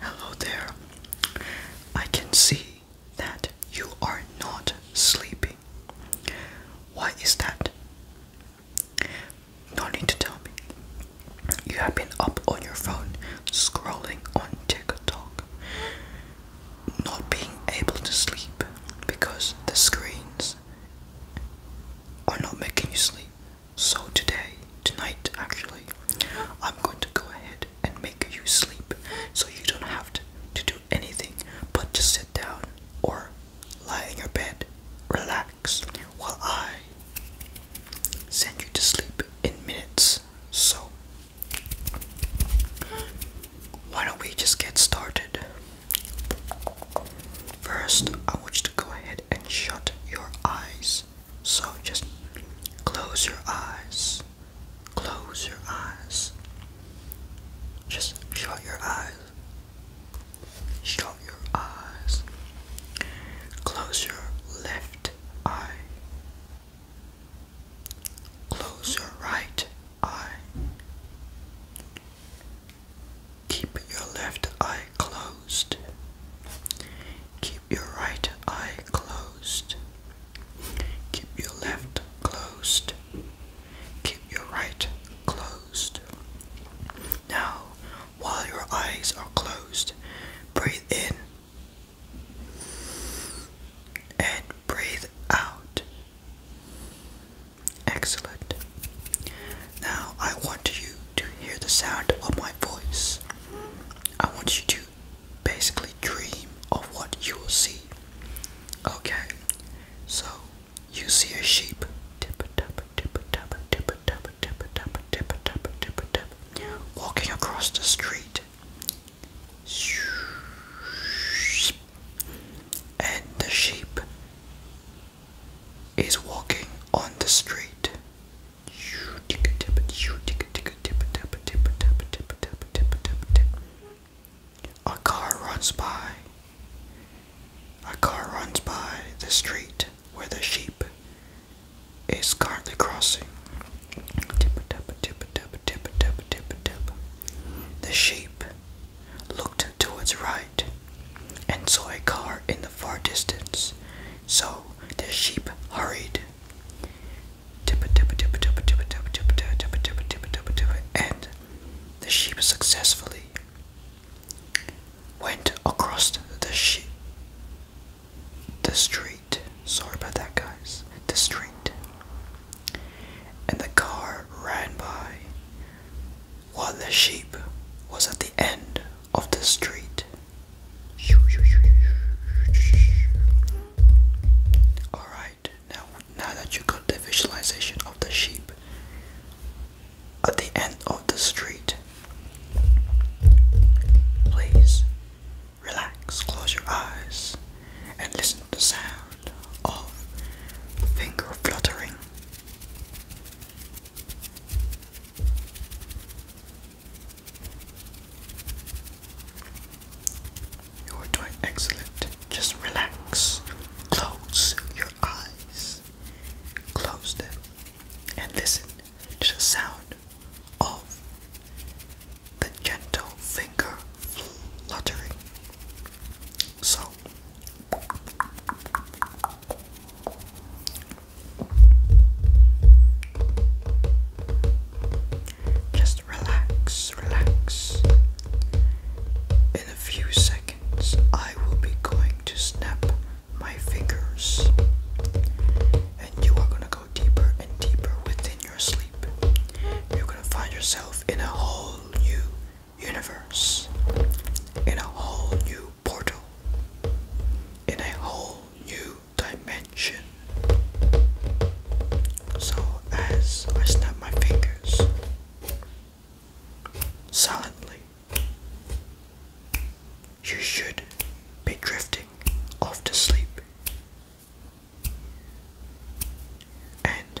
Hello there. I can see that you are not sleeping. Why is that? No need to tell me. You have been up on your phone scrolling on TikTok, not being able to sleep because the screens are not making you sleep. So, today, tonight actually, I'm going to go ahead and make you sleep so you don't have to, to do anything but just sit down or lie in your bed, relax while I send you to sleep in minutes. So, why don't we just get started? First, I want you to go ahead and shut your eyes. So, just close your eyes. Close your eyes. Just shut your eyes. Shut your eyes. Close your left eye. Close your right eye. Keep your left eye closed. Keep your right eye closed. Keep your left closed. Keep your right closed. Now while your eyes are closed. Breathe in and breathe out. Excellent. Now I want you to hear the sound of my voice. I want you to basically dream of what you will see. Okay, so you see a sheep. Tip a tap a tip a tap a tip a tap a tip a tap a tip a tap a tip a tap walking across the street. And the sheep is walking on the street. A car runs by. A car runs by the street where the sheep is currently crossing. The sheep looked towards right and saw a car in the far distance, so the sheep hurried. And the sheep successfully went across the the street sorry about that guys the street and the car ran by while the sheep was at the end of the street all right now, now that you got the visualization of the sheep at the end of the street, please relax, close your eyes, and listen to the sound of finger fluttering. You are doing excellent. Just relax. Close your eyes. Close them and listen to the sound of the gentle finger fluttering. So just relax, relax. In a few seconds, I will be going to snap my fingers, and you are going to go deeper and deeper within your sleep. You're going to find yourself in a whole new universe, in a whole new portal, in a whole new dimension. So, as I snap my fingers silently, you should be drifting off to sleep. And